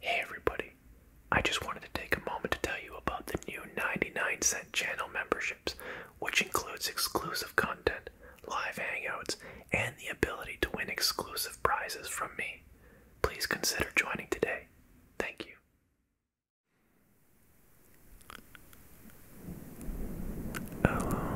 Hey everybody, I just wanted to take a moment to tell you about the new 99 cent channel memberships, which includes exclusive content, live hangouts, and the ability to win exclusive prizes from me. Please consider joining today. Thank you. Hello. Um,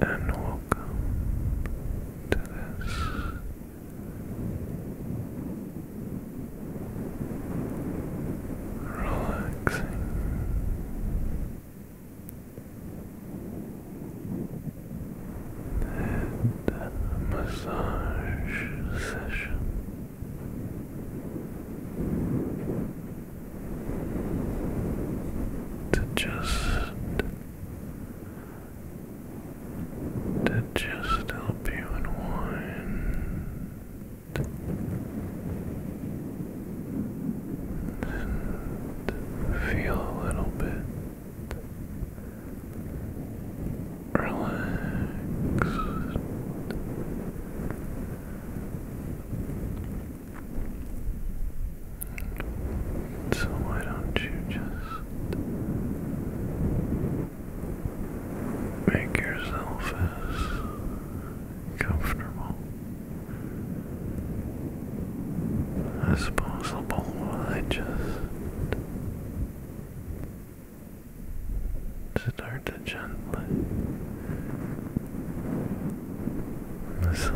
and welcome to this relaxing massage session to just to just help you unwind and feel a little bit relaxed so why don't you just make yourself as comfortable as possible I just Start to gently massage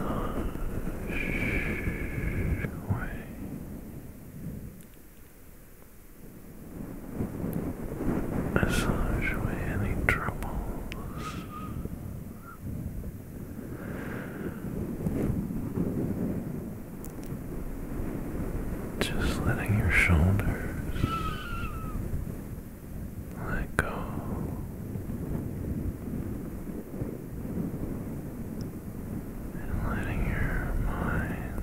away. Massage away any troubles. Just letting your shoulders let go. And letting your mind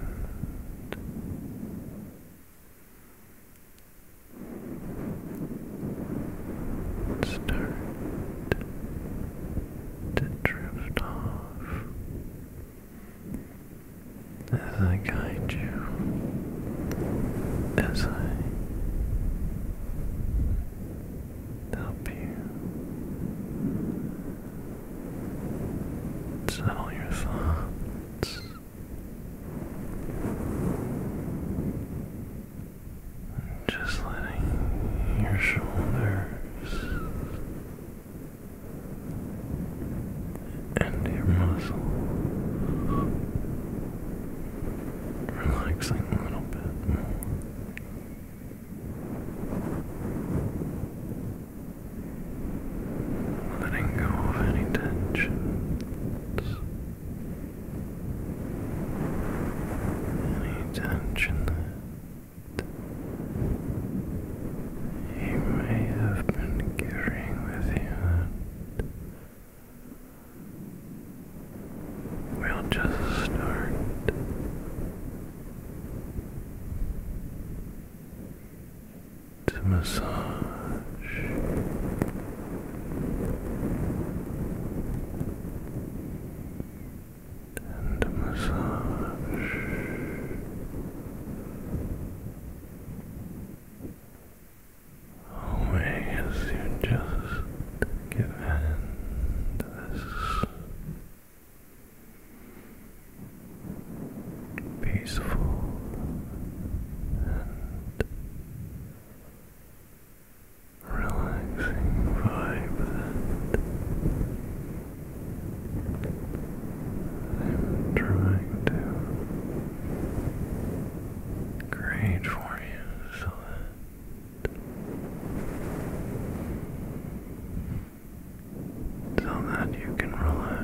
start to drift off as I guide you, as I help you settle your thoughts. Just letting your shoulders and your muscle relaxing a little bit more, letting go of any tensions, any tension that you may have been carrying with you. We'll just start to massage and massage away oh, as you just give in this peaceful and relaxing vibe that I'm trying to great for you, so that so that you can relax.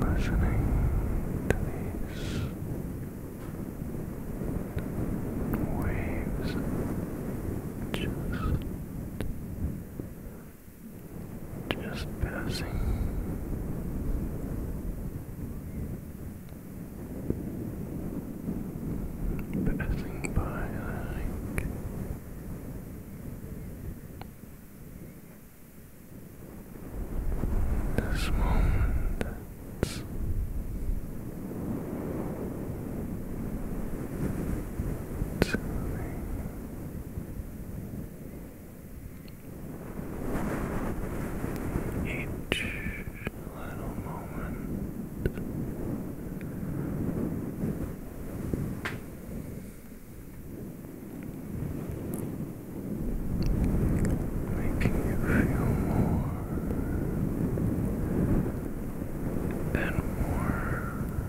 Listening to these waves just just passing passing by like this moment to Each little moment. Making you feel more and more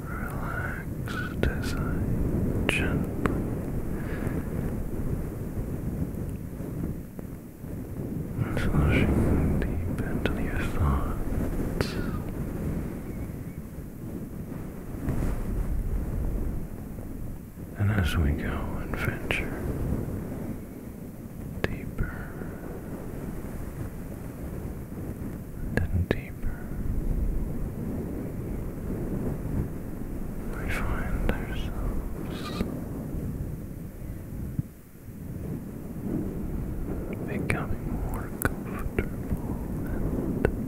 relaxed as I gently massaging deep into your thoughts. And as we go and venture deeper and deeper. We find ourselves becoming more comfortable and relaxed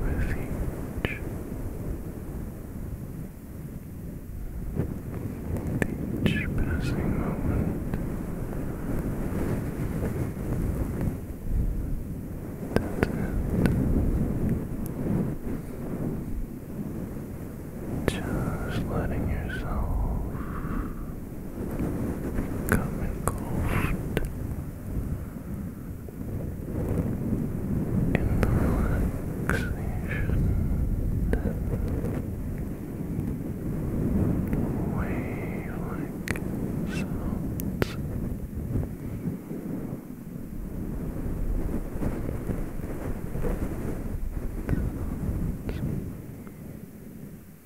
refuge, with each passing moment that's just letting yourself Come cold in the relaxation wave like Sounds.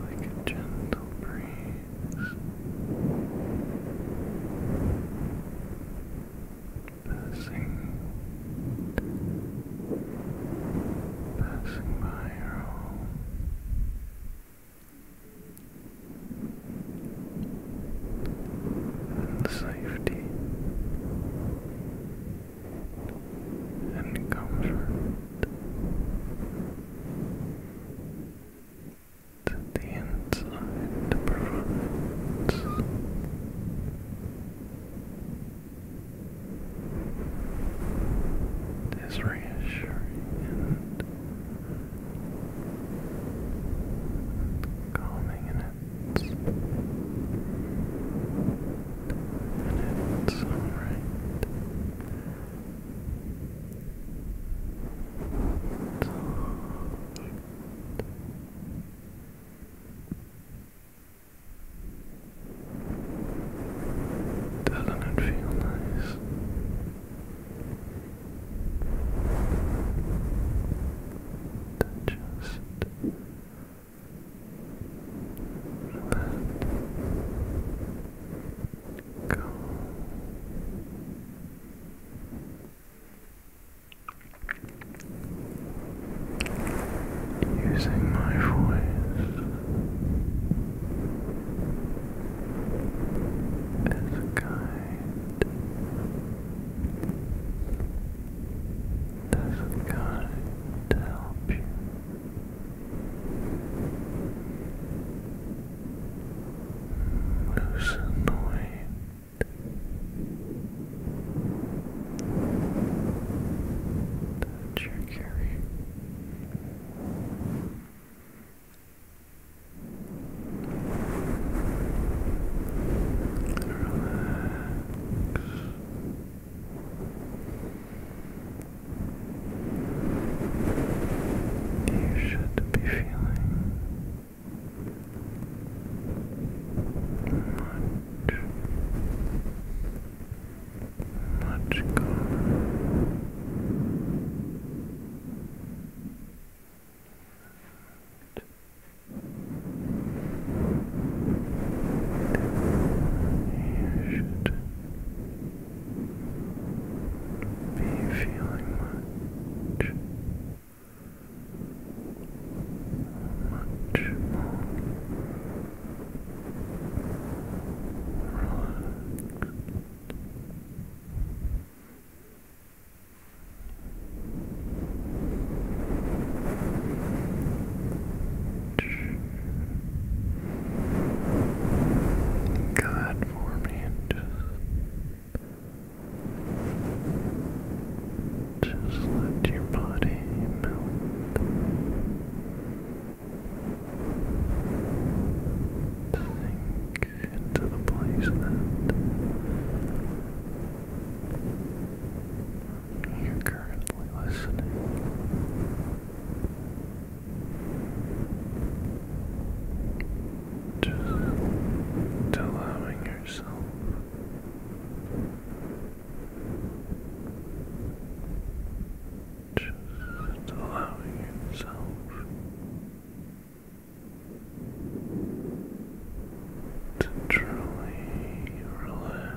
like a gentle breeze passing passing by your home. And safety and comfort that the inside provides. Is reassuring and calming in and it's Doesn't it feel nice? To let go. Using my voice as a guide doesn't going to help you. Loosen the weight that you carry. Relax. You should be feeling much, much calmer. You should be feeling much. Much more Good for me just, just let your body melt. Sink into the place that you're currently listening. Just allowing yourself just allowing yourself to truly relax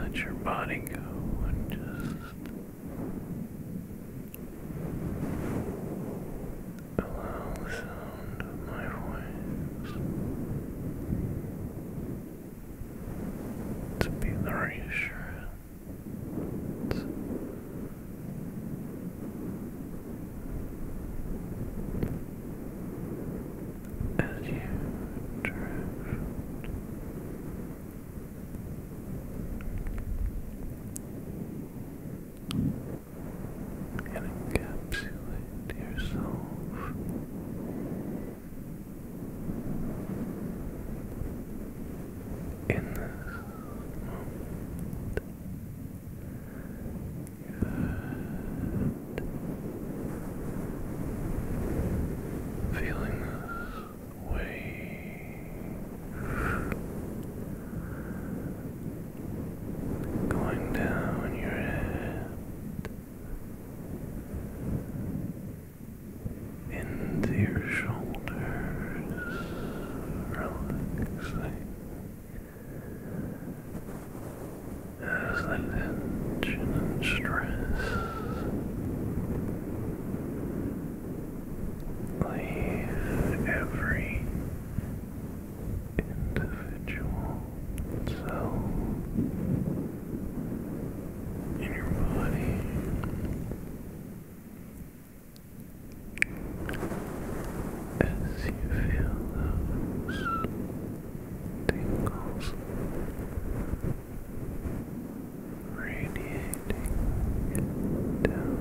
Let your body go and just allow the sound of my voice to be the reassurance as you drift. And encapsulate yourself in this moment. Good. Feeling this wave going down your head into your shoulders, relaxing as the tension and stress leave every individual cell in your body. As you feel those tingles radiating down,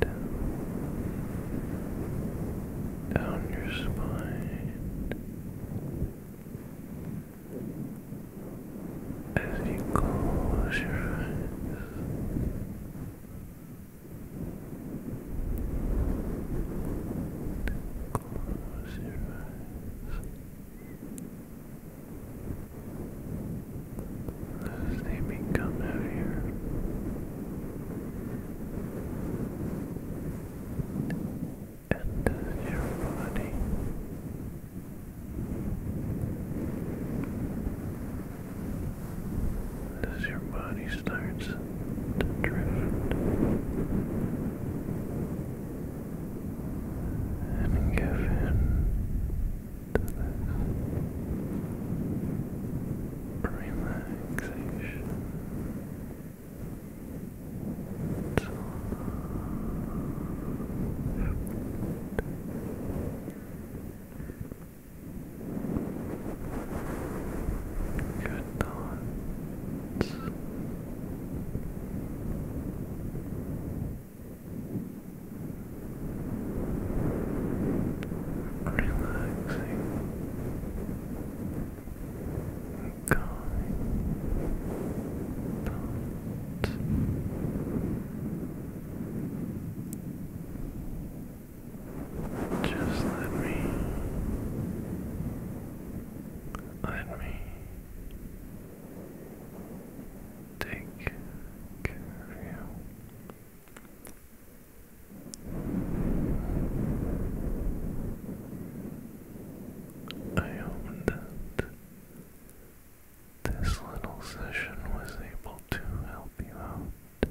down, down your spine. As you close your eyes, Close your they become heavier, and as your body as your body starts to drift and give in to this relaxation. It's Good thoughts relaxing, calming thoughts. Just let me, let me take care you. I hope that this little session was able to help you out.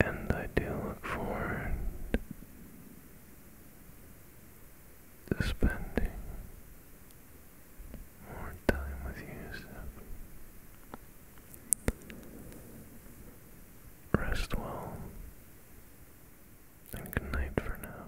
And I do look forward to spending more time with you, Rest well, and good night for now.